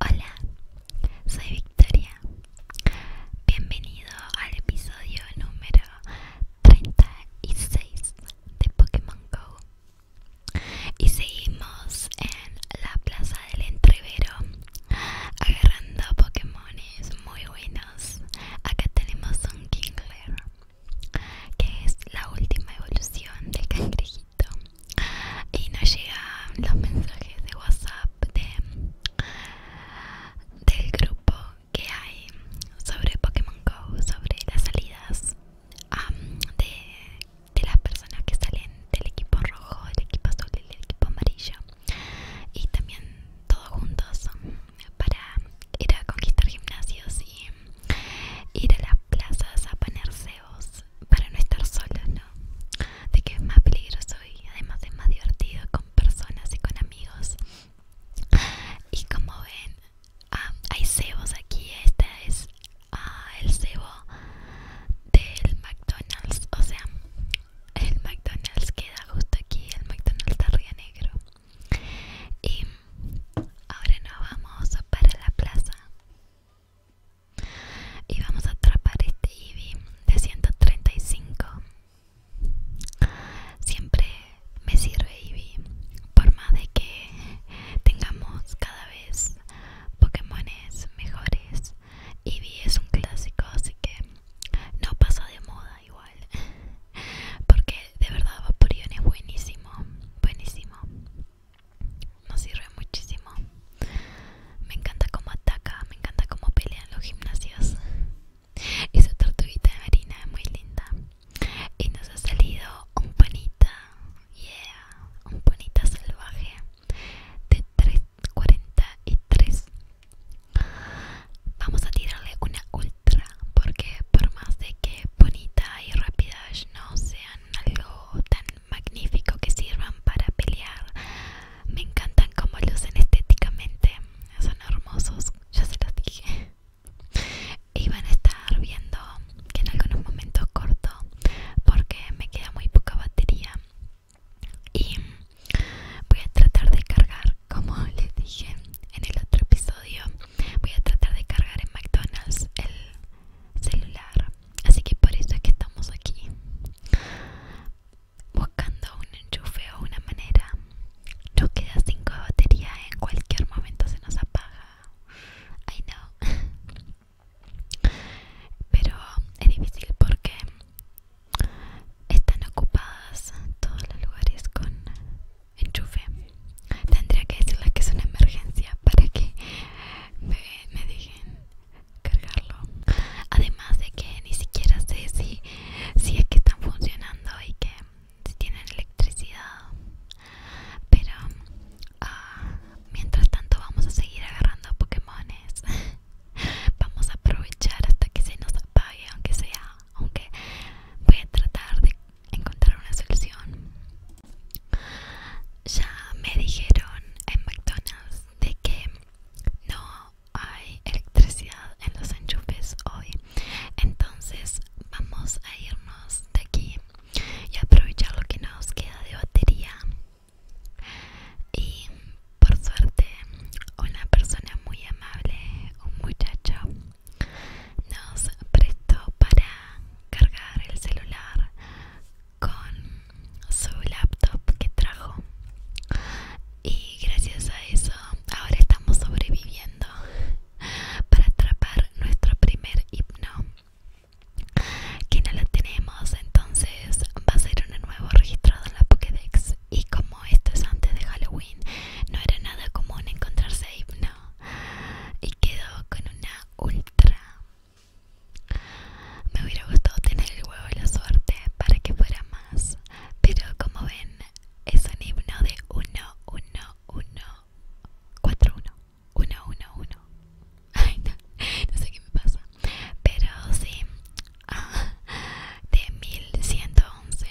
Hola, soy Victoria. Bienvenido al episodio número 36 de Pokémon Go. Y seguimos en la plaza del entrevero agarrando Pokémones muy buenos. Acá tenemos un Kingler, que es la última evolución del cangrejito y nos llegan los mensajes de WhatsApp del grupo que hay sobre Pokémon Go, sobre las salidas de, de las personas que salen del equipo rojo, del equipo azul y del equipo amarillo y también todos juntos para ir a conquistar gimnasios y ir a las plazas a poner cebos para no estar solos, ¿no? De que es más peligroso y además es más divertido con personas y con amigos. Y como ven, ah, hay cebos aquí. Este es ah, el cebo del McDonald's. O sea, el McDonald's queda justo aquí, el McDonald's de Río Negro. Y ahora nos vamos para la plaza. Y vamos a atrapar este Eevee de 135. Siempre me sirve Eevee, por más de que tengamos cada vez Pokémones mejores. Eevee es un clásico, así que no pasa de moda igual. Porque de verdad Vaporeon es buenísimo, buenísimo nos sirve muchísimo. Me encanta cómo ataca, me encanta cómo pelean los gimnasios. Esa tortuguita de marina es muy linda. Y nos ha salido un panita, yeah, un panita salvaje de 3.43. Vamos a tirarle una ultra, porque por más de que bonita y rápida no sean algo tan magnífico que sirvan para pelear. Me encantan como lucen estéticamente. Son hermosos, ya se los dije. Y van a estar viendo que en algunos momentos corto porque me queda muy poca batería. Y voy a tratar de cargar, como les dije en el otro episodio, voy a tratar de cargar en McDonald's el celular Así que por eso es que estamos aquí, buscando un enchufe o una manera. Nos queda 5 baterías batería, en cualquier momento se nos apaga. I know. Pero es difícil porque están ocupadas todos los lugares con enchufe. Tendría que decirles que es una emergencia para que me, dejen cargarlo además de que ni siquiera sé si, si es que están funcionando y que si tienen electricidad pero ah, mientras tanto vamos a seguir agarrando pokemones vamos a aprovechar hasta que se nos apague aunque sea aunque voy a tratar de encontrar una solución ya me dijeron en McDonald's de que no hay electricidad en los enchufes hoy. Entonces vamos a irnos de aquí y aprovechar lo que nos queda de batería. Y por suerte una persona muy amable, un muchacho, nos prestó para cargar el celular con su laptop que trajo y gracias a eso ahora estamos sobreviviendo para atrapar nuestro primer hipno que no lo tenemos entonces va a ser un nuevo registrado en la Pokédex y como esto es antes de Halloween no era nada común encontrarse Hipno y quedó con una ultra me hubiera gustado tener el huevo de la suerte para que fuera más, pero como ven, es un himno de 1, 1, 1, 4, Ay, no, no sé qué me pasa, pero sí, ah, de 1111.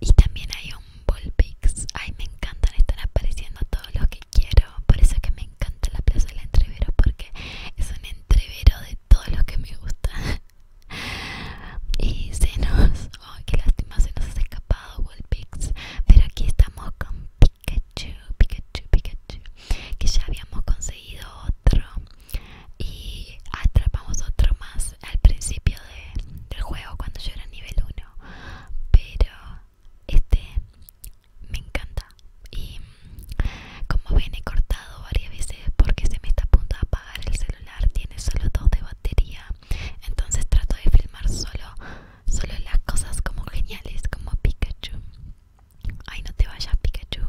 Y también hay un Bullpix. Ay, me encantan, están apareciendo todos los que quiero por eso es que me encanta la plaza del entrevero, porque es un entrevero de todo lo que me gusta. y se nos, qué lástima, se nos ha escapado pero aquí estamos con Pikachu, Pikachu, Pikachu, que ya habíamos conseguido otro y atrapamos otro más al principio del juego cuando yo era nivel 1, pero este me encanta y como ven he cortado varias veces porque se me está a punto de apagar el celular tiene solo dos de batería entonces trato de filmar solo solo las cosas como geniales como Pikachu ay no te vayas Pikachu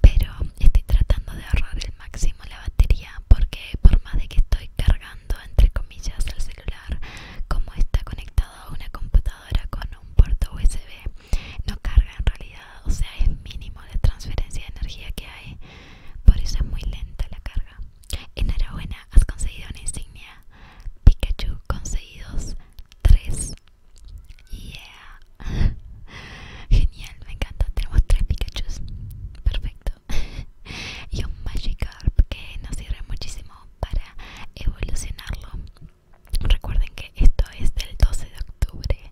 pero estoy tratando de ahorrar el máximo la batería porque por más de que estoy cargando entre comillas el celular como está conectado a una computadora con un puerto USB no carga en realidad o sea es mínimo de transferencia de energía que hay por eso es muy lenta la carga enhorabuena has conseguido una insignia Pikachu conseguidos 3 yeah genial me encanta tenemos 3 Pikachus perfecto y un Magikarp que nos sirve muchísimo para evolucionarlo recuerden que esto es del 12 de octubre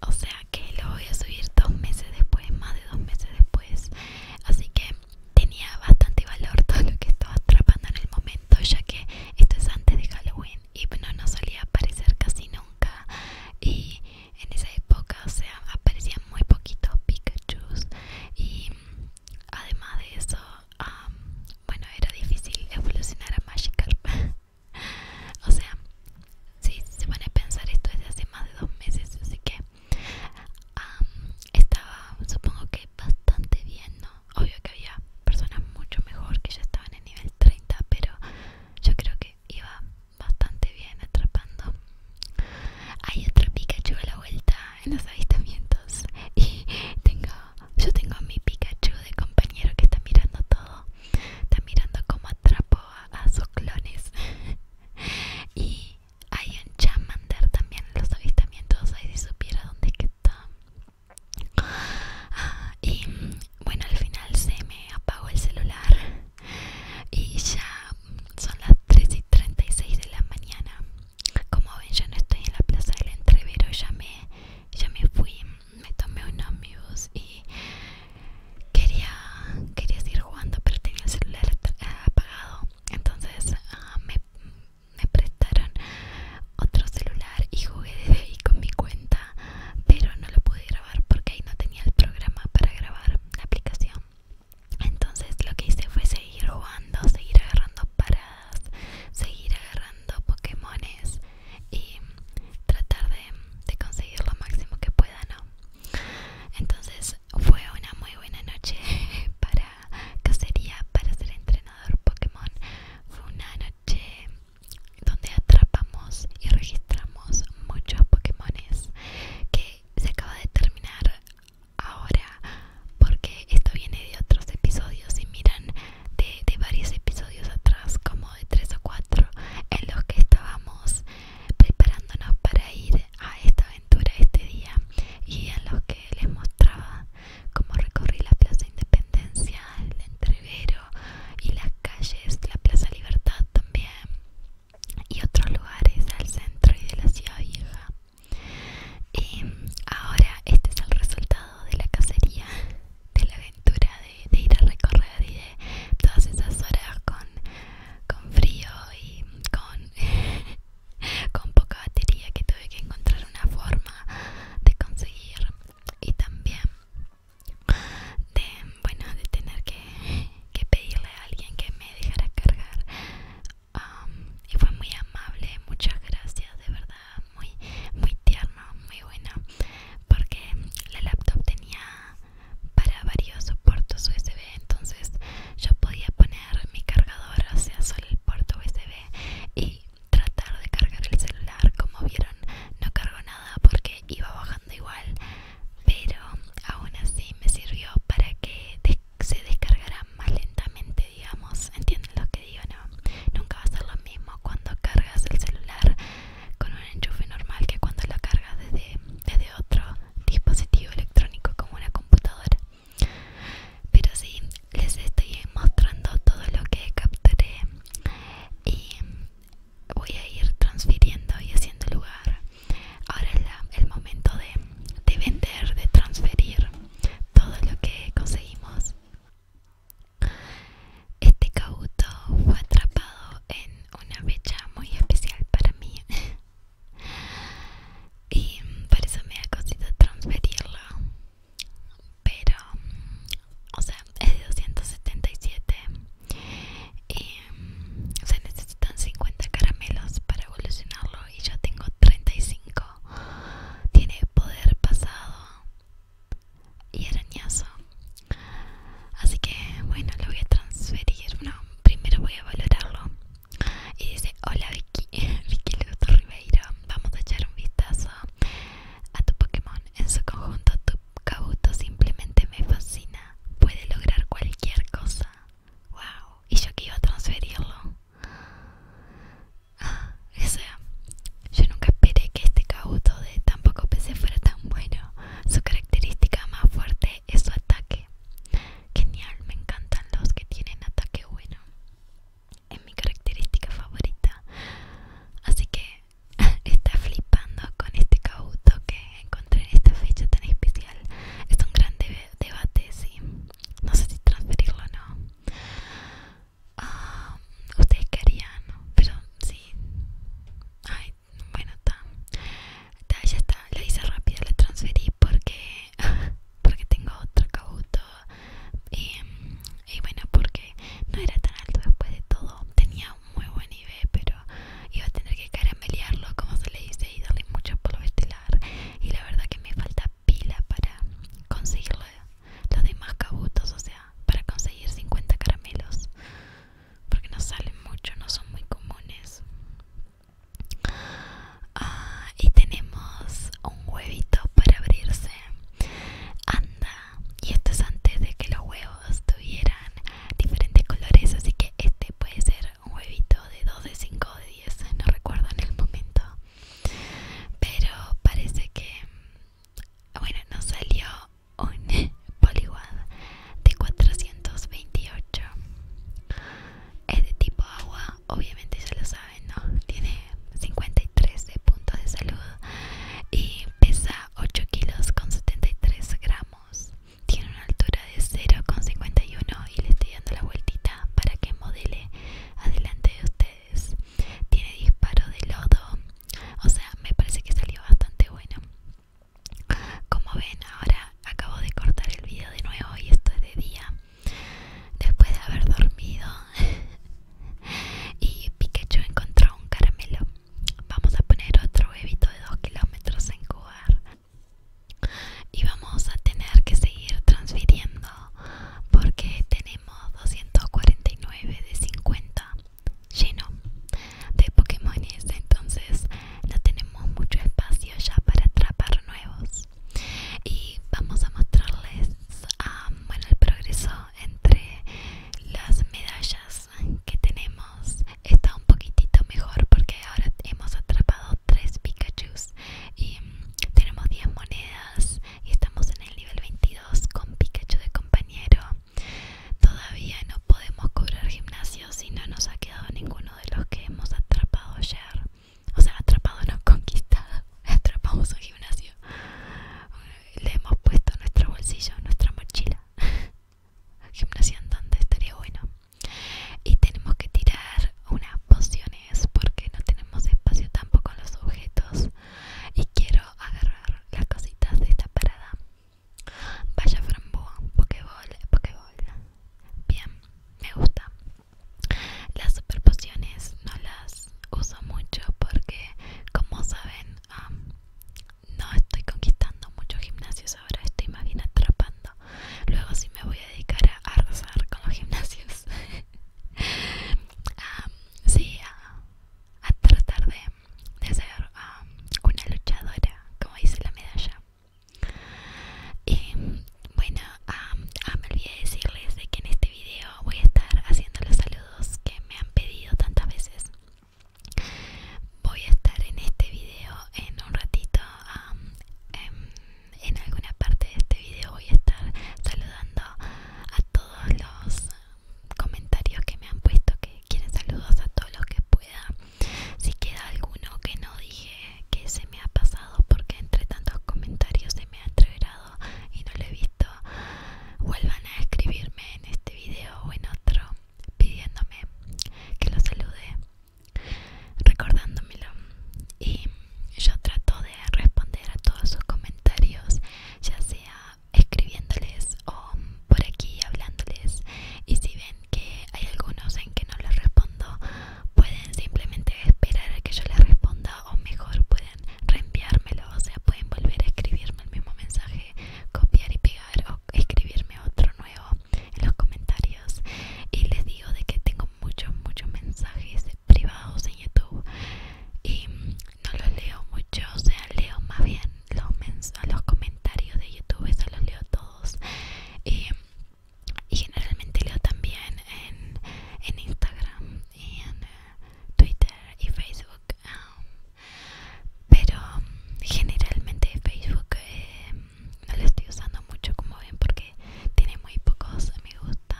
o sea que lo voy a subir dos meses después más de dos meses después así que tenía bastante valor todo lo que estaba atrapando en el momento ya que esto es antes de Halloween y no, no solía aparecer casi nunca y en esa época o sea, aparecían muy poquitos Pikachus y además de eso, bueno, era difícil evolucionar a Magikarp. o sea, si se pone a pensar esto desde hace más de dos meses, así que estaba, supongo que bastante bien, ¿no? Obvio que había personas mucho mejor que ya estaban en nivel 30, pero yo creo que iba bastante bien atrapando hay otro Pikachu a la vuelta en los avistamientos. Y tengo, yo tengo a mi Pikachu de compañero que está mirando todo. Está mirando cómo atrapo a, sus clones. y hay un Chamander también en los avistamientos. Ahí si supiera dónde está. Ah, y mm, bueno, al final se me apagó el celular y ya son las 3 y 36 de la mañana como ven ya no estoy en la plaza del entrevero ya me, ya me fui me tomé un omnibus y quería quería seguir jugando pero tenía el celular apagado entonces ah, me, me prestaron otro celular y jugué desde ahí con mi cuenta pero no lo pude grabar porque ahí no tenía el programa para grabar la aplicación entonces lo que hice fue seguir jugando, seguir agarrando paradas, seguir agarrando Pokémones y tratar de, conseguir lo máximo que pueda, ¿no? Entonces fue una muy buena noche para cacería, para ser entrenador Pokémon. Fue una noche donde atrapamos y registramos muchos Pokémones que se acaba de terminar ahora porque esto viene de otros episodios y miran de, varios episodios atrás como de tres o cuatro en los que estábamos preparándonos para ir a esta aventura este día y en los que les mostraba cómo recorrí la plaza independencia el entrevero y las calles la plaza libertad también y otros lugares al centro y de la ciudad vieja. Y em, ahora este es el resultado de la cacería, de la aventura, de, de ir a recorrer y de todas esas horas con, con frío y con, con poca batería que tuve que encontrar una forma de conseguir y también de, bueno, de tener que que pedirle a alguien que me dejara cargar y fue muy amable muchas gracias de verdad muy muy tierno muy bueno porque la laptop tenía para varios puertos usb entonces yo podía poner mi cargador o sea solo el puerto usb y tratar de cargar el celular como vieron no cargó nada porque iba bajando igual pero aún así me sirvió para que se descargara más lentamente, digamos. ¿Entienden lo que digo? No, nunca va a ser lo mismo cuando cargas el celular con un enchufe normal que cuando lo cargas desde, desde otro dispositivo electrónico como una computadora. Pero sí, les estoy mostrando todo lo que capturé y voy a ir transfiriendo y haciendo lugar Ahora es el momento de, vender, de transferir todo lo que conseguimos. Este cauto fue atrapado en una fecha muy especial para mí. y por eso me ha costado transferirlo. Pero, o sea, es de 277. Y se necesitan 50 caramelos para evolucionarlo y yo tengo 35. Tiene poder pasado y arañazo. Así que bueno, lo voy a transferir. No, primero voy a valorarlo. Y dice, hola Vicky, Vicky Luto Ribeiro, vamos a echar un vistazo a tu Pokémon. En su conjunto, tu Kabuto simplemente me fascina. Puede lograr cualquier cosa wow, y yo que iba a transferirlo. Ah, o sea, yo nunca esperé que este cauto de tampoco PC fuera tan bueno. Su característica más fuerte es su ataque. Genial, me encantan los que tienen ataque bueno. Es mi característica favorita. Así que está flipando con este cauto que encontré esta fecha tan especial. Es un gran debate, sí. No sé si transferirlo o no. Ah, Ustedes querían, pero sí. Ay, bueno, está. ya está. La hice rápida la transferí porque, porque tengo otro cabuto. Y, y bueno, porque no era tan alto después de todo. Tenía un muy buen nivel, pero y va a tener que caramelearlo, como se le dice, y darle mucho polvo estelar. Y la verdad que me falta pila para conseguirlo los demás cabutos, o sea, para conseguir 50 caramelos, porque no salen mucho, no son muy comunes. Ah, y tenemos un huevito para abrirse. Anda, y esto es antes de que los huevos tuvieran diferentes colores, así que este puede ser un huevito de 2, de 5 de 10, no recuerdo en el momento. Pero parece que, bueno, nos salió un poliguad de 428. Es de tipo agua, obviamente ya lo saben, ¿no? Tiene 53 de puntos de salud y pesa 8 kilos con 73 gramos tiene una altura de 0,51 y le estoy dando la vueltita para que modele adelante de ustedes. Tiene disparo de lodo, o sea, me parece que salió bastante bueno. Como ven, ahora acabo de cortar el video de nuevo y esto es de día, después de haber dormido. y Pikachu encontró un caramelo. Vamos a poner otro huevito de 2 kilómetros en jugar y vamos a tener que seguir transfiriendo porque tenemos 249 de 50 lleno de Pokémones, este entonces no tenemos mucho espacio ya para atrapar nuevos. Y vamos a mostrarles el progreso entre las medallas que tenemos está un poquitito mejor porque ahora hemos atrapado 3 Pikachus y mm, tenemos 10 monedas y estamos en el nivel 22 con Pikachu de compañero. Todavía no podemos cobrar gimnasio si no nos ha quedado ninguno de los que hemos atrapado ayer. O sea, atrapado no conquistado. Atrapamos un gimnasio. Le hemos puesto nuestro bolsillo, nuestra mochila. gimnasia donde estaría bueno y tenemos que tirar unas pociones porque no tenemos espacio tampoco los objetos y quiero agarrar las cositas de esta parada vaya frambuesa pokeball pokeball bien me gusta las super pociones no las uso mucho porque como saben no estoy conquistando muchos gimnasios ahora, estoy más bien atrapando. Luego sí me voy a dedicar a arrasar con los gimnasios. sí, a, tratar de, ser una luchadora, como dice la medalla. Y bueno, ah, me olvidé decirles de que en este video voy a estar haciendo los saludos que me han pedido tantas veces. Voy a estar en este video en un ratito, em, en alguna parte de este video voy a estar saludando a todos los comentarios que me han puesto que quieren saludos a todos los que pueda. Si queda alguno que no dije que se me ha pasado porque entre tantos comentarios se me ha entregado y no lo he visto, vuelvan a escribirme en este video o en otro pidiéndome que los salude recordándomelo y yo trato de responder a todos sus comentarios ya sea escribiéndoles o por aquí hablándoles y si ven que hay algunos en que no les respondo pueden simplemente esperar a que yo les responda o mejor pueden reenviármelo o sea pueden volver a escribirme el mismo mensaje copiar y pegar o escribirme otro nuevo en los comentarios y les digo de que tengo muchos muchos mensajes privados en YouTube y no los leo mucho o sea leo más bien los los comentarios de YouTube eso los leo todos y, generalmente leo también en, Instagram y en eh, Twitter y Facebook ah, pero generalmente Facebook eh, no lo estoy usando mucho como ven porque tiene muy pocos me gusta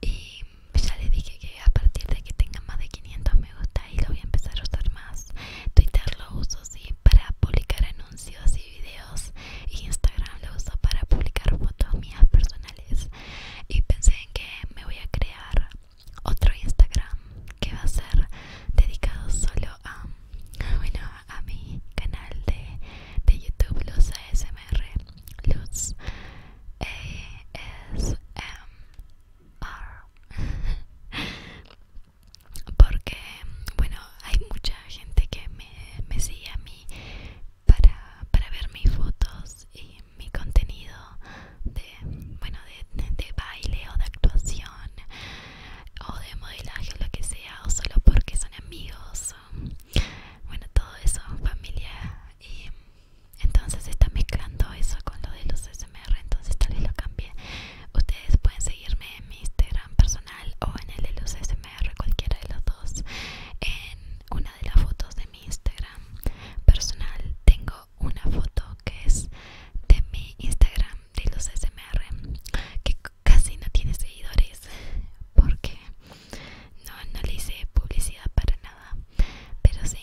y ya les dije que a partir de que tenga más de 500 me gusta y lo voy a empezar a usar más Twitter lo uso sí para publicar anuncios y videos y Instagram lo uso para publicar fotos mías personales y pensé en que me voy a crear otro Instagram que va a ser dedicado solo a bueno, a mi canal de, YouTube Luz ASMR Luz ASMR e porque bueno hay mucha gente que me, sigue a mí para, para ver mis fotos y mi contenido de bueno de, de baile o de actuación o de modelaje o lo que sea o solo porque son amigos bueno todo eso familia y entonces está mezclando eso con lo de los smr entonces tal vez lo cambie ustedes pueden seguirme en mi instagram personal o en el de los smr cualquiera de los dos en una de las fotos de mi instagram personal tengo una foto que es de mi instagram de los SMR que casi no tiene seguidores porque no, le hice publicidad para nada pero sí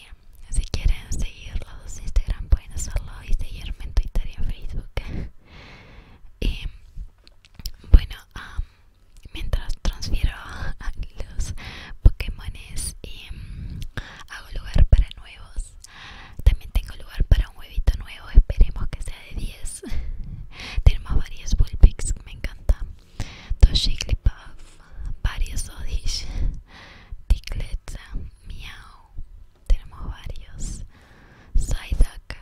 si quieren seguirlos en Instagram pueden hacerlo y seguirme en Twitter y en Facebook y bueno mientras transfiero los pokemones y mm, hago lugar para nuevos también tengo lugar para un huevito nuevo, esperemos que sea de 10. Tenemos varios Bullpicks, me encanta. Dos puff varios oddish, Ticletza Miau. Tenemos varios. Psyduck,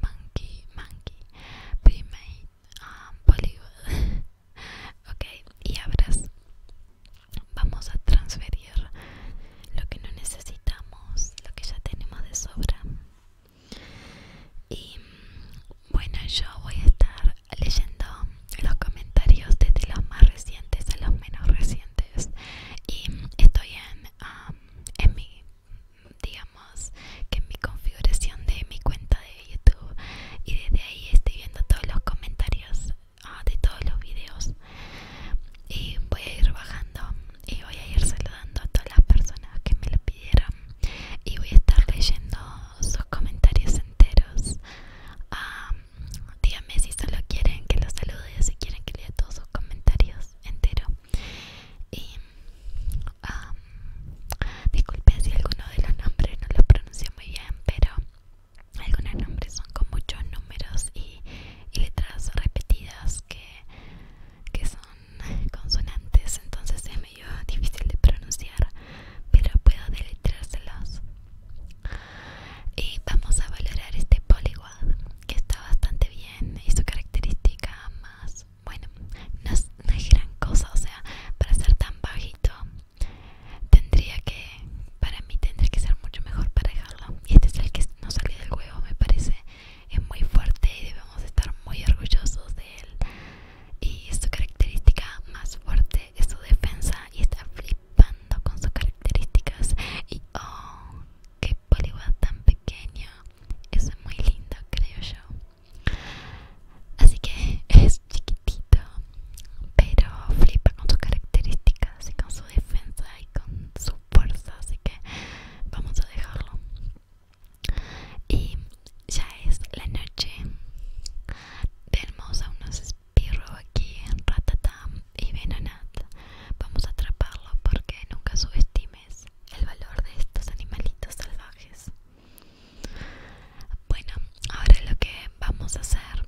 Monkey, Monkey, Primate, um, Bollywood. ok, y abras vamos a transferir lo que no necesitamos, lo que ya tenemos de sobra. Y bueno, yo voy a estar leyendo los comentarios desde los más recientes a los menos recientes. Y estoy en, um, mi, digamos, que mi configuración de mi cuenta de YouTube. Y desde ahí estoy viendo todos los comentarios Ah, de todos los videos y voy a ir bajando y voy a ir saludando a todas las personas que me lo pidieron y voy a estar leyendo sus comentarios enteros ah, díganme si solo quieren que los salude si quieren que lea todos sus comentarios enteros y ah, disculpen si alguno de los nombres no los pronuncio muy bien pero algunos nombres son con muchos números y, letras repetidas que, son consonantes entonces es medio difícil de pronunciar pero puedo deletrárselos y vamos a valorar este polígono que está bastante bien y su característica más bueno no es gran cosa o sea para ser tan bajito tendría que para mí tendría que ser mucho mejor para dejarlo y este es el que no salió del huevo me parece es muy fuerte y debemos estar muy orgullosos de él y su característica más fuerte es su defensa y está flipando con sus características y oh qué poliwag tan pequeño eso es muy lindo creo yo así que es chiquitito pero flipa con sus características y con defensa y con su fuerza así que vamos a dejarlo y ya es la noche tenemos a unos espirros aquí en Ratatam y Venonat vamos a atraparlo porque nunca subestimes el valor de estos animalitos salvajes bueno ahora lo que vamos a hacer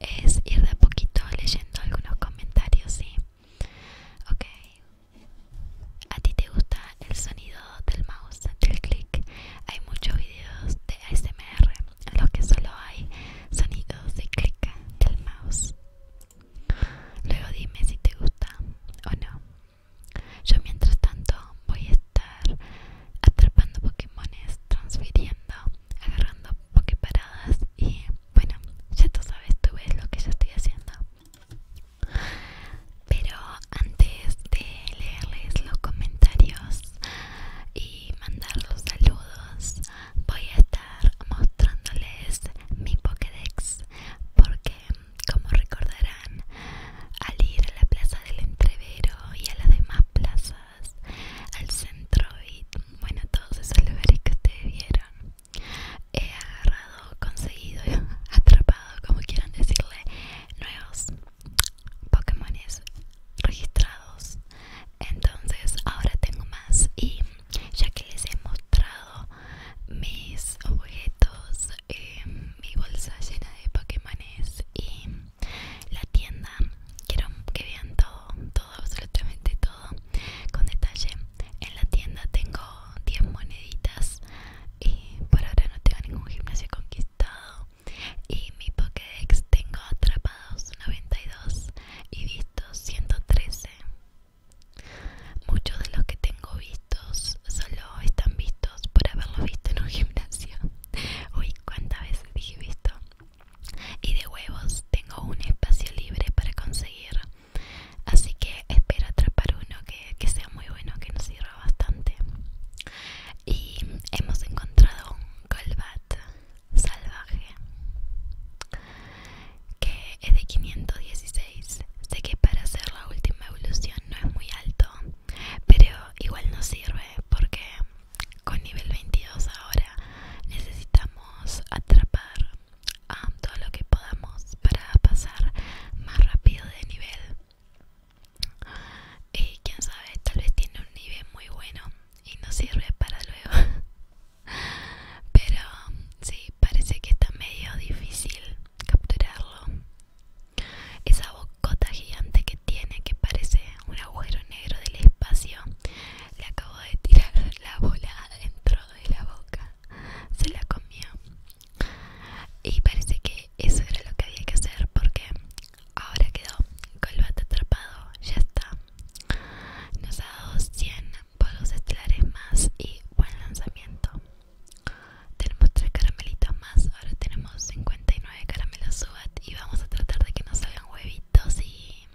es ir de a poquito leyendo algunos comentarios, ¿sí? Ok. ¿A ti te gusta el sonido del mouse, del clic? Hay muchos videos de ASMR en los que solo hay sonidos de clic del mouse. Luego dime si te gusta o no. Yo mientras tanto voy a estar atrapando Pokémones, transfiriendo, agarrando Poképaradas y bueno, ya tú sabes, tú ves lo que yo estoy haciendo. Pero antes de leerles los comentarios y mandar los saludos, voy a estar mostrándoles mi Pokédex porque, como recordarán, al ir a la plaza del Entrevero y a las demás plazas al centro y bueno todos esos lugares que te vieron he agarrado conseguido atrapado como quieran decirle nuevos pokémones registrados entonces ahora tengo más y ya que les he mostrado mis objetos eh, mi bolsa llena de pokémones y la tienda quiero que vean todo todo absolutamente todo con detalle en la tienda tengo 10 moneditas y por ahora no tengo ningún gimnasio conquistado y mi Pokédex tengo atrapados 92 y vistos 113 muchos de los que tengo vistos solo están vistos por haberlos visto en un gimnasio uy cuántas veces dije visto y de huevos tengo un espacio libre para conseguir así que espero atrapar uno que, sea muy bueno que nos sirva bastante y hemos encontrado un colbat salvaje que es de 516 sé que para hacer la última evolución no es muy alto pero igual nos sirve porque con nivel 22 ahora necesitamos atrapar a um, todo lo que podamos para pasar más rápido de nivel y quién sabe tal vez tiene un nivel muy bueno y no sirve para luego pero um, sí parece que está medio difícil capturarlo esa bocota gigante que tiene que parece un agujero negro del espacio le acabo de tirar la bola adentro de la boca se la comió y parece que eso era lo que había que hacer porque ahora quedó con atrapado ya está nos ha dado 100 polos estelares más y buen lanzamiento tenemos 3 caramelitos más ahora tenemos 59 caramelos SUBAT y vamos a tratar de que no salga huevitos y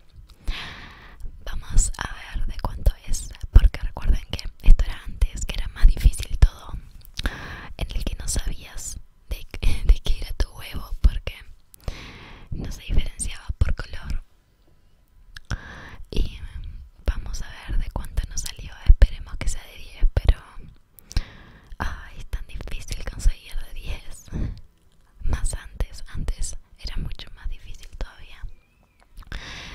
vamos a ver de cuánto es porque recuerden que esto era antes que era más difícil todo en el que no sabías de, qué era tu huevo porque no se diferenciaba por color y vamos a ver de cuánto nos salió esperemos que sea de 10 pero es tan difícil conseguir de 10 más antes antes era mucho más difícil todavía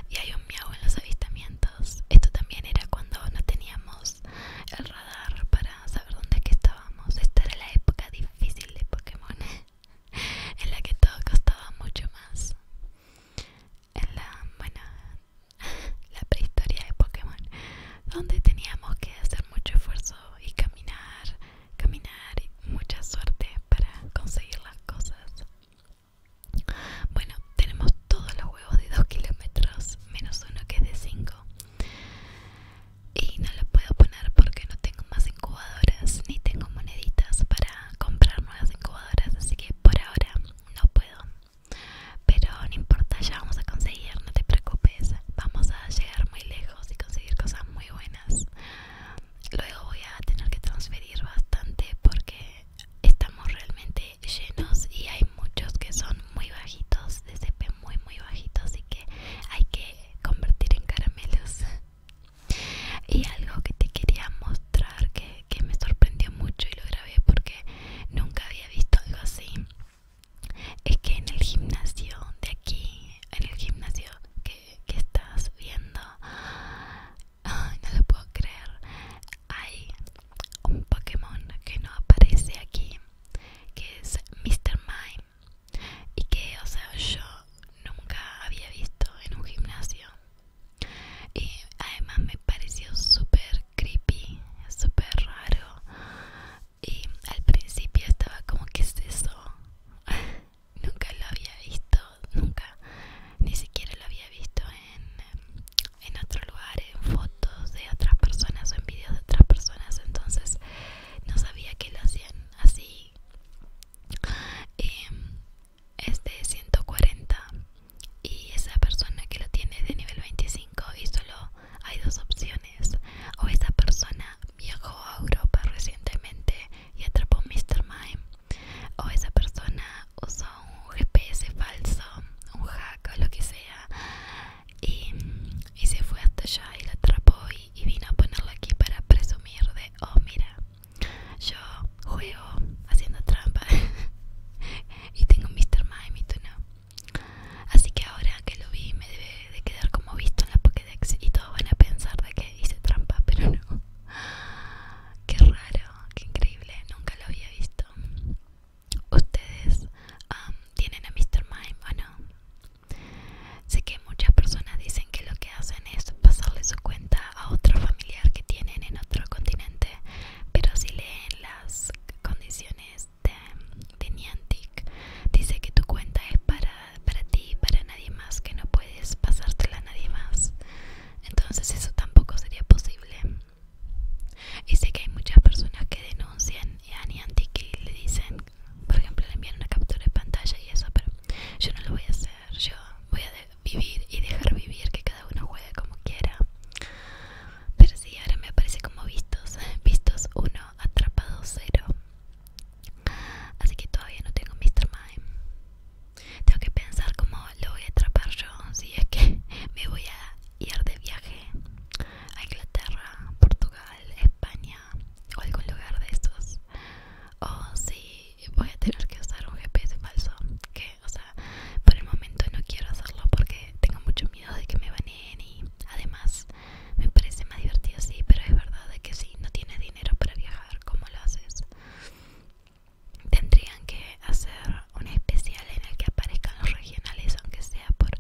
y hay un miau en los avistamientos esto también era cuando no teníamos el radar para saber dónde que estábamos esta era la época difícil de Pokémon en la que todo costaba mucho más en la bueno la prehistoria de Pokémon donde teníamos que hacer mucho esfuerzo y caminar, caminar y mucha suerte para conseguir las cosas. Bueno, tenemos todos los huevos de 2 kilómetros, menos uno que es de 5. Y no lo puedo poner porque no tengo más incubadoras ni tengo moneditas para comprar nuevas incubadoras, así que por ahora no puedo. Pero no importa, ya vamos a conseguir no te preocupes, vamos a llegar muy lejos y conseguir cosas muy buenas. Luego voy a tener que transferir bastante porque estamos realmente llenos y hay muchos que son muy bajitos, de CP muy muy bajitos, así que hay que convertir en caramelos. Y algo que te quería mostrar que me sorprendió mucho y lo grabé porque nunca había visto algo así es que en el gimnasio de aquí, en el gimnasio que, estás viendo, no lo puedo creer, hay un Pokémon que no aparece aquí, que es Mr. Mime, y que, o sea, yo nunca había visto en un gimnasio. Y además me pareció súper creepy, súper raro y al principio estaba como que es eso nunca lo había visto nunca ni siquiera lo había visto en, em, en otro lugar en fotos de otras personas o en videos de otras personas entonces no sabía que lo hacían así Este es de 140 y esa persona que lo tiene es de nivel 25 y solo hay dos opciones. O esa persona viajó a Europa recientemente y atrapó a Mr. Mime. O esa persona usó un GPS falso, un hack o lo que sea. Y, se fue hasta allá y la atrapó y, y vino a ponerlo aquí para presumir de, oh mira, yo juego haciendo trampa y tengo Mr. Mime y tú no. Así que ahora que lo vi me debe de quedar como visto en la Pokédex y todos van a pensar de que hice trampa, pero no. Qué raro, qué increíble, nunca lo había visto. ¿Ustedes tienen a Mr. Mime o no? Sé que muchas personas dicen que lo que hacen es pasarle su cuenta a otro familiar que tienen en otro continente, pero si leen las condiciones de, este, Niantic dice que tu cuenta es para, para ti para nadie más, que no puedes pasártela a nadie más. Entonces eso tampoco sería posible. Y sé que hay muchas personas que denuncian a Niantic y le dicen, por ejemplo, le envían una captura de pantalla y eso, pero yo no lo voy a hacer. Yo voy a vivir y dejar vivir, que cada uno juegue como quiera. Pero sí, ahora me aparece como vistos, vistos uno atrapado cero. Así que todavía no tengo Mr. Mime. Tengo que pensar cómo lo voy a atrapar yo. Si es que me voy a ir de viaje a Inglaterra, Portugal, España o algún lugar de estos. O si voy a tener que usar un GPS falso. Que, o sea, por el momento no quiero hacerlo porque tengo mucho miedo de que me baneen y además me parece más divertido, sí, pero es verdad que si no tiene dinero para viajar, como lo haces? Tendrían que hacer un especial en el que aparezcan los regionales, aunque sea por,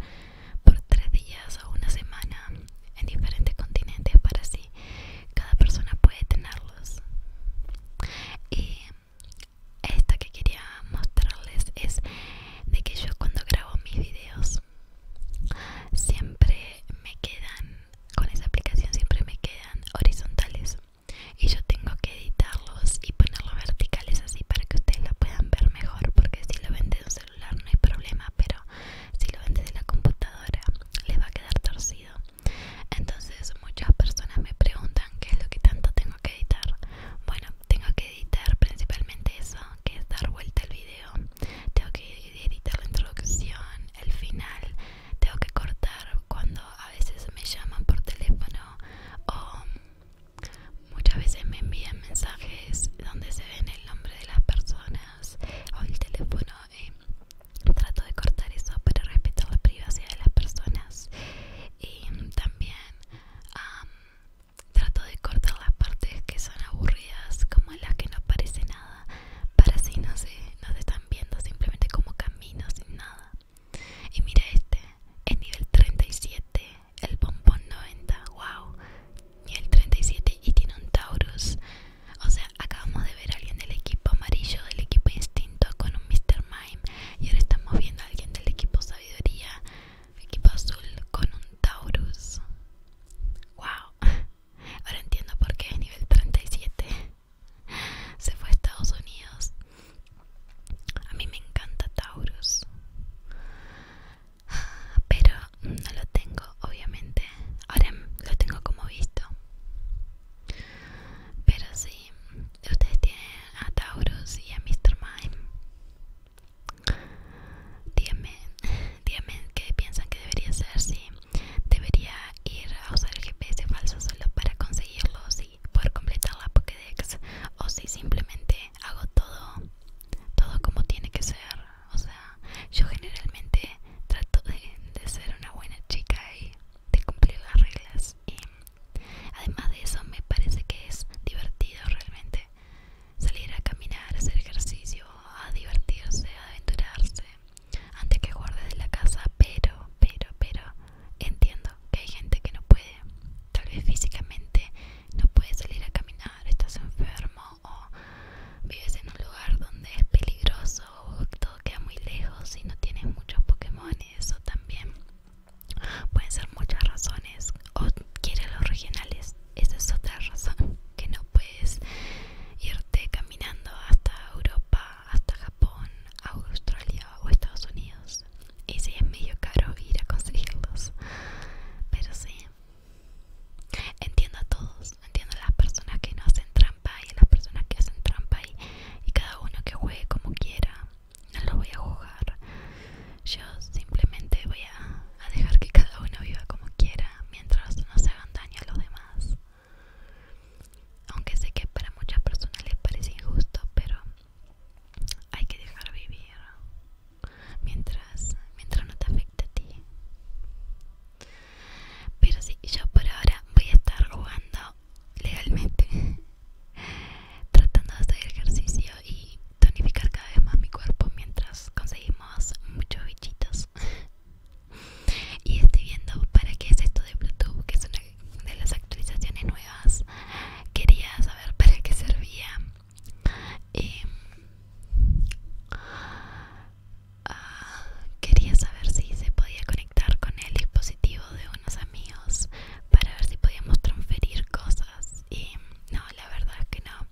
por tres días o una semana, en diferentes continentes, para así cada persona puede tenerlos. Y esta que quería mostrarles es de que yo cuando grabo mis videos siempre me quedan, con esa aplicación siempre me quedan horizontales y yo tengo que editarlos y ponerlos verticales así para que ustedes la puedan ver mejor porque si lo ven de un celular no hay problema pero si lo ven desde la computadora les va a quedar torcido entonces muchas personas me preguntan qué es lo que tanto tengo que editar bueno tengo que editar principalmente eso que dar vuelta al video, tengo que editar la introducción, el final, tengo que cortar cuando a veces me llaman por teléfono o muchas veces me envían mensajes donde se ven el nombre de las personas o el teléfono. Eh, trato de cortar eso para respetar la privacidad de las personas y también Trato de cortar las partes que son aburridas, como las que no aparecen nada, para si no se, no están viendo simplemente como caminos sin nada. Y mira este, es nivel 37, el bombón 90, wow, nivel 37 y tiene un Taurus. O sea, acabamos de ver a alguien del equipo amarillo, del equipo instinto con un Mr. Mime, y ahora estamos viendo a alguien del equipo sabiduría equipo azul con un Taurus. ¡Wow! Ahora entiendo por qué es nivel 37. Se fue a Estados Unidos. A mí me encanta Taurus. Pero no lo tengo, obviamente. Ahora lo tengo como visto. Pero sí, ustedes tienen a Taurus y a Mr. Mime. Díganme, díganme qué piensan que debería ser, si debería ir a usar el GPS falso solo para conseguirlo, si poder completar la Pokédex, o si simplemente hago todo, todo como tiene que ser. O sea, yo generalmente trato de, de ser una buena chica y de cumplir las reglas. Y además de eso, me parece que es divertido realmente salir a caminar, hacer ejercicio, a divertirse, a aventurarse, antes que guardes la casa, pero, pero, pero entiendo que hay gente que no puede, tal vez físicamente no puede salir a caminar, estás enfermo o vives en un lugar donde es peligroso o todo queda muy lejos y no tienes muchos Pokémon, eso también Pueden ser muchas razones. O quiere los regionales. Esa es otra razón. Que no puedes irte caminando hasta Europa, hasta Japón, Australia o Estados Unidos. Y si es medio caro ir a conseguirlos. Pero sí. Entiendo a todos. Entiendo a las personas que no hacen trampa y a las personas que hacen trampa y cada uno que juegue como quiera no lo voy a jugar. Yo simplemente voy a, a dejar que cada uno viva como quiera mientras no se hagan daño a los demás. Aunque sé que para muchas personas les parece injusto, pero hay que dejar vivir mientras, mientras no te afecte a ti. Pero sí, yo por ahora voy a estar jugando legalmente tratando de hacer ejercicio y tonificar cada vez más mi cuerpo mientras conseguimos muchos bichitos y estoy viendo para qué es esto de Bluetooth que es una de las actualizaciones nuevas quería saber para qué servía eh, ah, quería saber si se podía conectar con el dispositivo de unos amigos para ver si podíamos transferir cosas y no, la verdad es que no.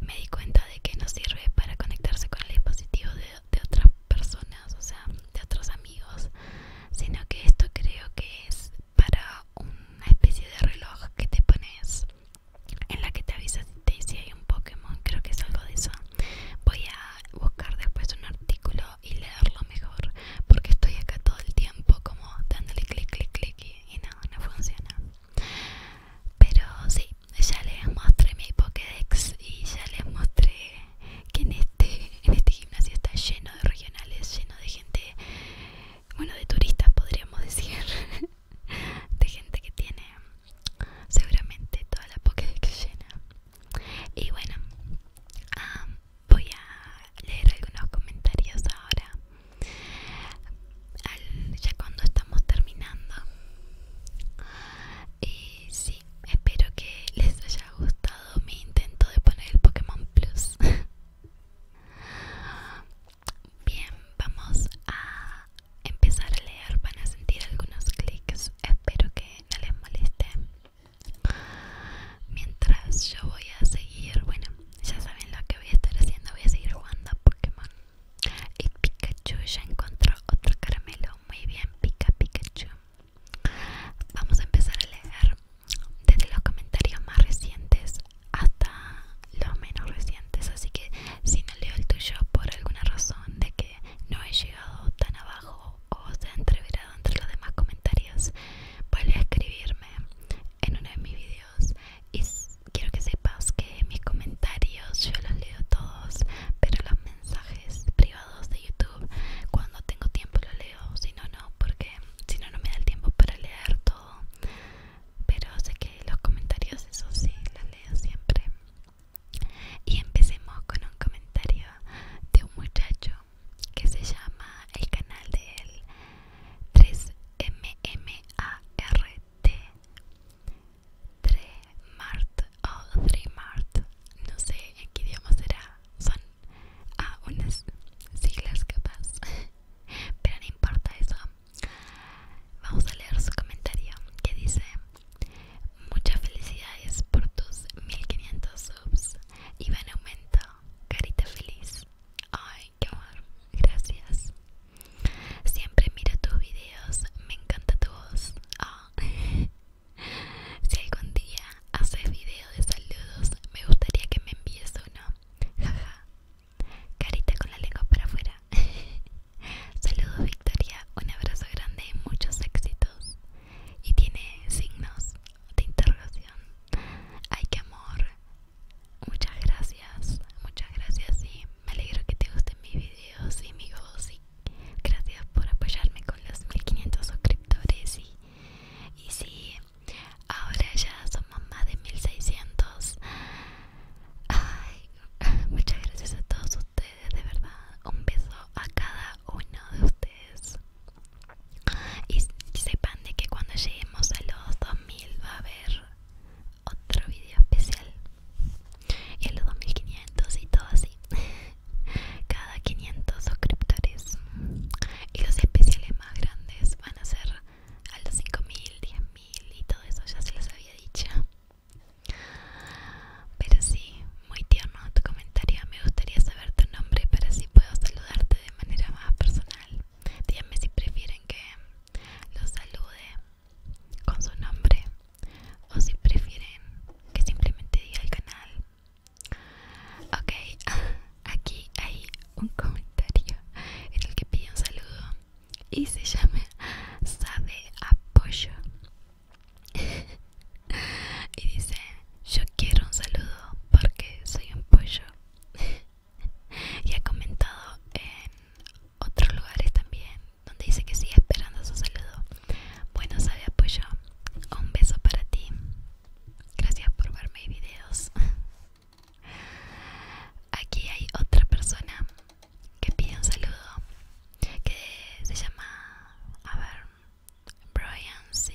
Me di cuenta de que no sirve para conectarse con el dispositivo de, otras personas, o sea, de otros amigos, sino que esto creo que es para una especie de reloj que te pones en la que te avisa si hay un Pokémon, creo que es algo de eso. Voy a buscar después un artículo y leerlo mejor, porque estoy acá todo el tiempo como dándole clic, clic, clic y no, no funciona. Pero sí, ya les mostré mi Pokédex y ya les mostré que en este, este gimnasio está lleno de regionales, lleno de gente, bueno, de turistas podríamos decir, de gente que tiene seguramente toda la Pokédex llena. Y bueno, um, voy a leer algunos comentarios ahora ya cuando estamos terminando y eh, sí espero que les haya gustado mi intento de poner el Pokémon Plus bien vamos a empezar a leer van a sentir algunos clics espero que no les moleste mientras yo voy a seguir bueno ya saben lo que voy a estar haciendo voy a seguir jugando a Pokémon y Pikachu ya encontró otro caramelo muy bien pica Pikachu vamos a empezar a leer desde los comentarios más recientes hasta los menos recientes así que si no leo el tuyo por alguna razón de que no he llegado tan abajo o se ha entreverado entre los demás comentarios vuelve escribirme en uno de mis videos y quiero que sepas que mis comentarios yo los leo todos, pero los mensajes privados de YouTube cuando tengo tiempo los leo, si no no, porque si no no me da el tiempo para leer todo. Pero sé que los comentarios eso sí los leo siempre. Y empecemos con un comentario de un muchacho que se llama el canal de él 3MMART 3MART o 3MART no sé en qué idioma será son algunas ah, unas siglas capaz pero no importa eso vamos a leer su comentario que dice muchas felicidades por tus 1500 subs y va aumento carita feliz Hoy qué amor, gracias. Siempre miro tus videos, me encanta tu voz. Ah. si algún día haces videos de saludos, me gustaría que me envíes uno. Jaja. Carita con la lengua para afuera. saludos, Victoria. Un abrazo grande y muchos éxitos. Y tiene signos de interrogación. Ay, qué amor. Muchas gracias, muchas gracias y me alegro que te gusten mis videos y y gracias por apoyarme con los 1500 suscriptores y, y sí, ahora ya somos más de 1600. Ay, muchas gracias a todos ustedes, de verdad. Un beso a cada uno de ustedes. Y, sepan de que cuando lleguemos a los 2000 va a haber otro video especial. Y a los 2500 y todo así. Cada 500 suscriptores. Y los especiales más grandes van a ser a los 5000, 10000 y todo eso. Ya se los había dicho. Pero sí, muy tierno tu comentario. Me gustaría saber tu nombre para si puedo saludarte de manera más personal díganme si prefieren que los salude con su nombre o si prefieren que simplemente diga el canal ok aquí hay un comentario en el que pide un saludo y se llama sabe apoyo y dice yo quiero un saludo porque soy un pollo y ha comentado en otros lugares también donde dice que sigue esperando su saludo. Bueno, sabe apoyo. Un beso para ti. Gracias por ver mis videos. Aquí hay otra persona que pide un saludo que se llama, a ver, Brian C.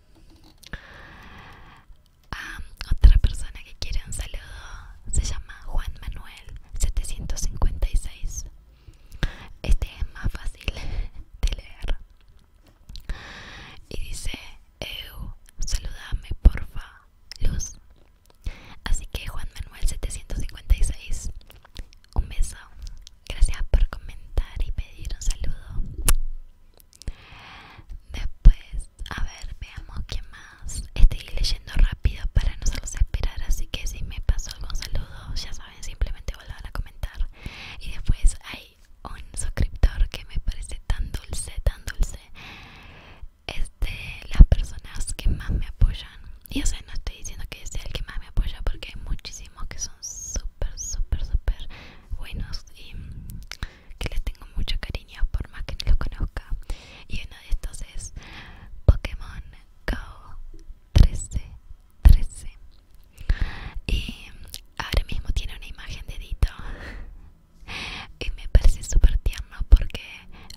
A ah, otra persona que quiere un saludo se llama Juan Manuel 756. Este es más fácil de leer. Y dice, Eu, saludame porfa, Luz. Así que Juan Manuel 756, un beso. Gracias por comentar y pedir un saludo. Después, a ver, veamos qué más. Estoy leyendo rápido para no hacerlos esperar, así que si me pasó algún saludo, ya saben, simplemente volver a comentar. Y después hay un suscriptor que me parece tan dulce, tan dulce. Es de las personas que más me apoyan. Y o sea, no estoy diciendo que sea el que más me apoya porque hay muchísimos que son súper super, super, super buenos y que les tengo mucho cariño por más que no los conozca. Y uno de estos es Pokémon Go 1313. 13. Y ahora mismo tiene una imagen de Dito. Y me parece súper tierno porque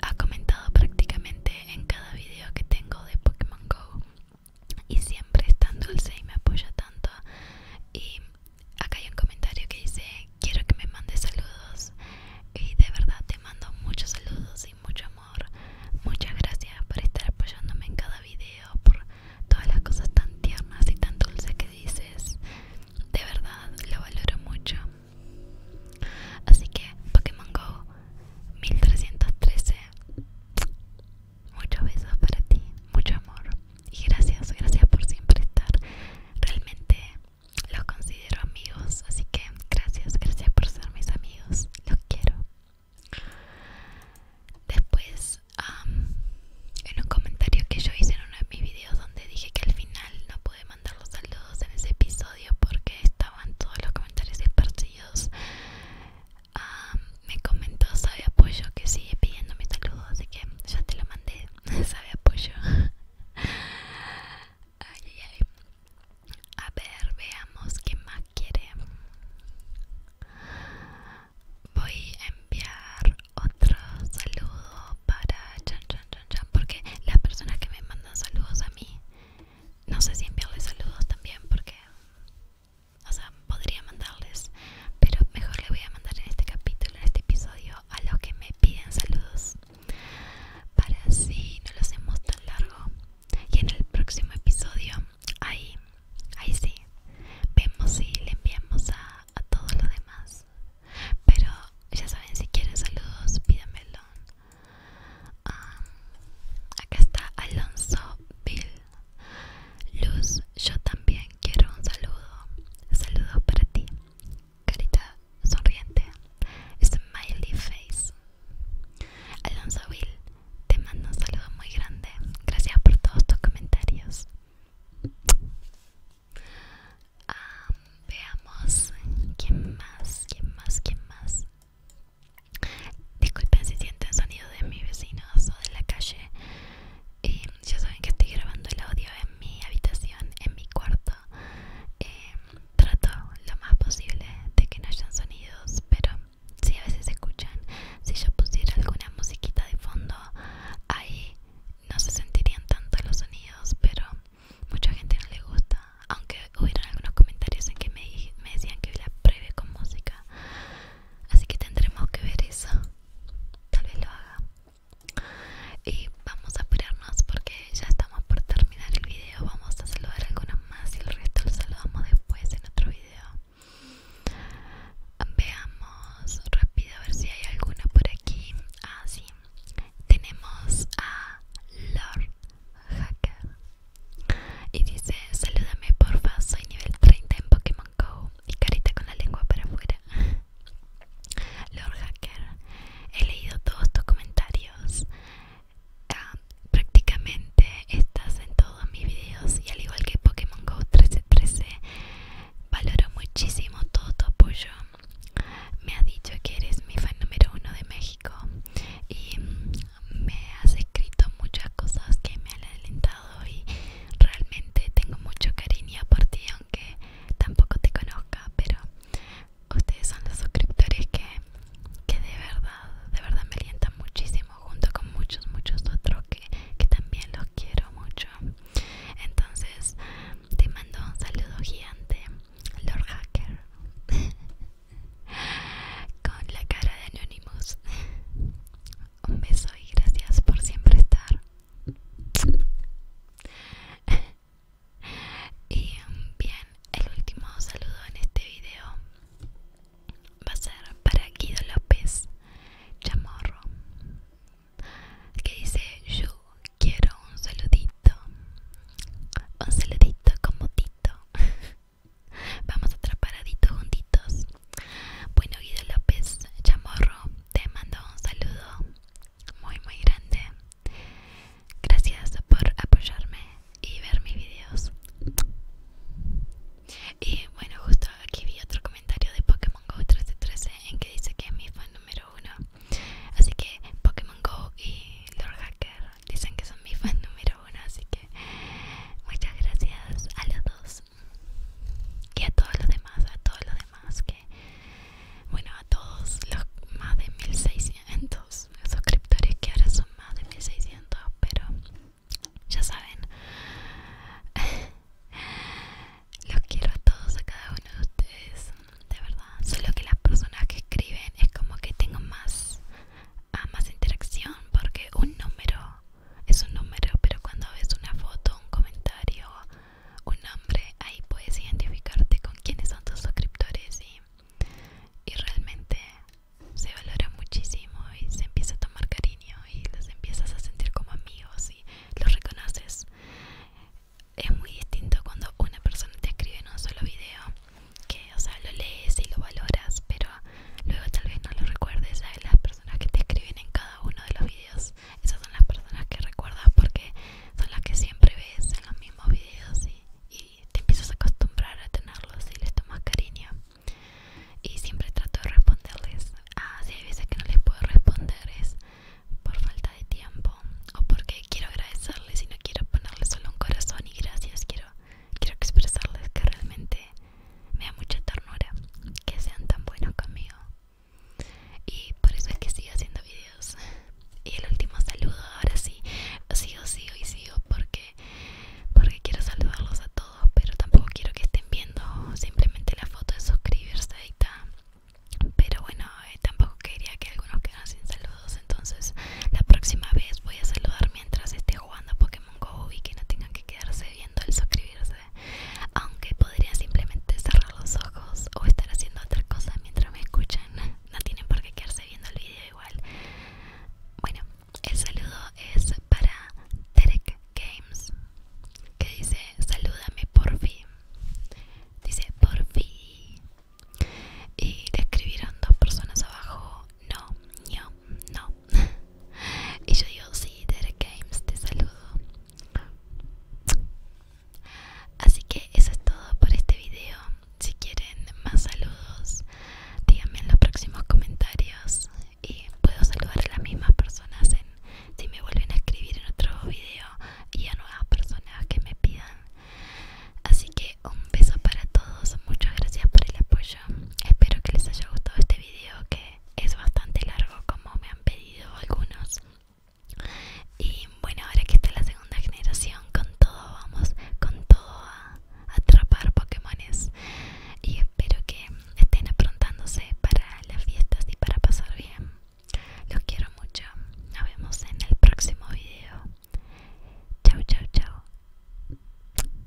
ha comentado prácticamente en cada video que tengo de Pokémon Go y siempre es tan dulce y me apoya tanto y acá hay un comentario que dice quiero que me mandes saludos y de verdad te mando muchos saludos y mucho amor muchas gracias por estar apoyándome en cada video por todas las cosas tan tiernas y tan dulces que dices de verdad lo valoro mucho así que Pokémon Go 1313 Muchos besos para ti, mucho amor. Y gracias, gracias por siempre estar. Realmente los considero amigos, así que gracias, gracias por ser mis amigos. Los quiero. Después, en un comentario que yo hice en uno de mis videos donde dije que al final no pude mandar los saludos en ese episodio porque estaban todos los comentarios esparcidos Ah, me comentó Sabe Apoyo que sigue pidiendo mis saludos, así que ya te lo mandé. Sabe Apoyo. ay, ay, ay. A ver, veamos qué más quiere. Voy a enviar otro saludo para Chan Chan Chan Chan, porque las personas que me mandan saludos a mí, no sé si enviarles saludos también, porque o sea, podría mandarles, pero mejor le voy a mandar en este capítulo, en este episodio, a los que me piden saludos, para así no lo hacemos tan largo. Y en el próximo episodio, ahí, ahí sí, vemos si le enviamos a, todos los demás. Pero ya saben, si quieren saludos, pídanmelo. Ah, acá está Alonso Bill. Luz, yo también quiero un saludo. Saludos para ti. Carita sonriente. Smiley face. Alonso Will, te mando un saludo muy grande. Gracias por todos tus comentarios. Ah, veamos quién más, quién más, quién más. Disculpen si sienten sonido de mis vecinos o de la calle. Y em, ya saben que estoy grabando el audio en mi habitación, en mi cuarto. Em, trato lo más posible de que no hayan sonidos, pero si a veces se escuchan, si yo pusiera alguna musiquita de fondo, ahí no se sentirían tanto los sonidos, pero mucha gente no le gusta. Aunque hubieron algunos comentarios en que me, decían que la pruebe con música, así que tendremos que ver eso tal vez lo haga y vamos a apurarnos porque ya estamos por terminar el video vamos a saludar algunos más y el resto los saludamos después en otro video veamos rápido a ver si hay alguna por aquí ah sí tenemos a Lord Hacker y dice salúdame porfa soy nivel 30 en Pokémon Go y carita con la lengua para afuera. Lord Hacker, he leído todos tus comentarios. Ah, prácticamente estás en todos mis videos y al igual que Pokémon Go 1313 valoro muchísimo todo tu apoyo. Me ha dicho que eres mi fan número uno de México y mm, me has escrito muchas cosas que me han alentado y realmente tengo mucho cariño por ti, aunque tampoco te conozca, pero ustedes son los suscriptores que, que de verdad, de verdad me alientan muchísimo, junto con muchos, muchos otros que, que también los quiero mucho. Entonces, te mando un saludo gigante, Lord Hacker, con la cara de Anonymous. Un beso y gracias por siempre estar. y um, bien, el último saludo en este video va a ser para Guido López Chamorro, que dice yo quiero un saludito, un saludito como Tito Vamos a paradito juntitos. Bueno, Guido López Chamorro, te mando un saludo muy, muy grande. Gracias por apoyarme y ver mis videos. Y bueno, justo aquí vi otro comentario de Pokémon Go 1313 en que dice que es mi fan número uno. Así que Pokémon Go y Lord Hacker dicen que son mi fan número uno. Así que muchas gracias a los dos que a todos los demás, a todos los demás, que bueno, a todos los más de 1600 suscriptores que ahora son más de 1600, pero ya saben, los quiero a todos, a cada uno de ustedes, de verdad, solo que las personas que escriben es como que tengo más a más interacción porque un número es un número pero cuando ves una foto un comentario un nombre ahí puedes identificarte con quiénes son tus suscriptores y, y realmente se valora muchísimo y se empieza a tomar cariño y los empiezas a sentir como amigos y los reconoces es muy distinto cuando una persona te escribe en un solo video que o sea lo lees y lo valoras pero Luego tal vez no lo recuerdes a las personas que te escriben en cada uno de los videos. Esas son las personas que recuerdas porque son las que siempre ves en los mismos videos y, te empiezas a acostumbrar a tenerlos y les tomas cariño. Y siempre trato de responderles. Ah, si hay veces que no les puedo responder es por falta de tiempo o porque quiero agradecerles y no quiero ponerles solo un corazón y gracias. Quiero, quiero expresarles que realmente me da mucha ternura que sean tan buenos conmigo y por eso es que sigo haciendo videos y el último saludo ahora sí sigo sigo y sigo porque porque quiero saludarlos a todos pero tampoco quiero que estén viendo simplemente la foto de suscribirse ahí pero bueno eh, tampoco quería que algunos quedaran sin saludos entonces la próxima vez voy a saludar mientras esté jugando porque como que no tengan que quedarse viendo el suscribirse, aunque podría simplemente cerrar los ojos o estar haciendo otra cosa mientras me escuchan. No tienen por qué quedarse viendo el video igual. Bueno, el saludo es para Terek Games, que dice salúdame por fin. Dice por fin. Y le escribieron dos personas abajo, no, no, no. y yo digo sí Derek Games te saludo así que eso es todo por este video si quieren más saludos díganme en los próximos comentarios y puedo saludar a las mismas personas si me vuelven a escribir en otro video y a nuevas personas que me pidan así que un beso para todos muchas gracias por el apoyo espero que les haya gustado este este que es bastante largo como me han pedido algunos y bueno ahora que está la segunda generación con todo vamos con todo a atrapar pokemones y espero que estén aprontándose para las fiestas y para pasar bien los quiero mucho nos vemos en el próximo video chao chao chao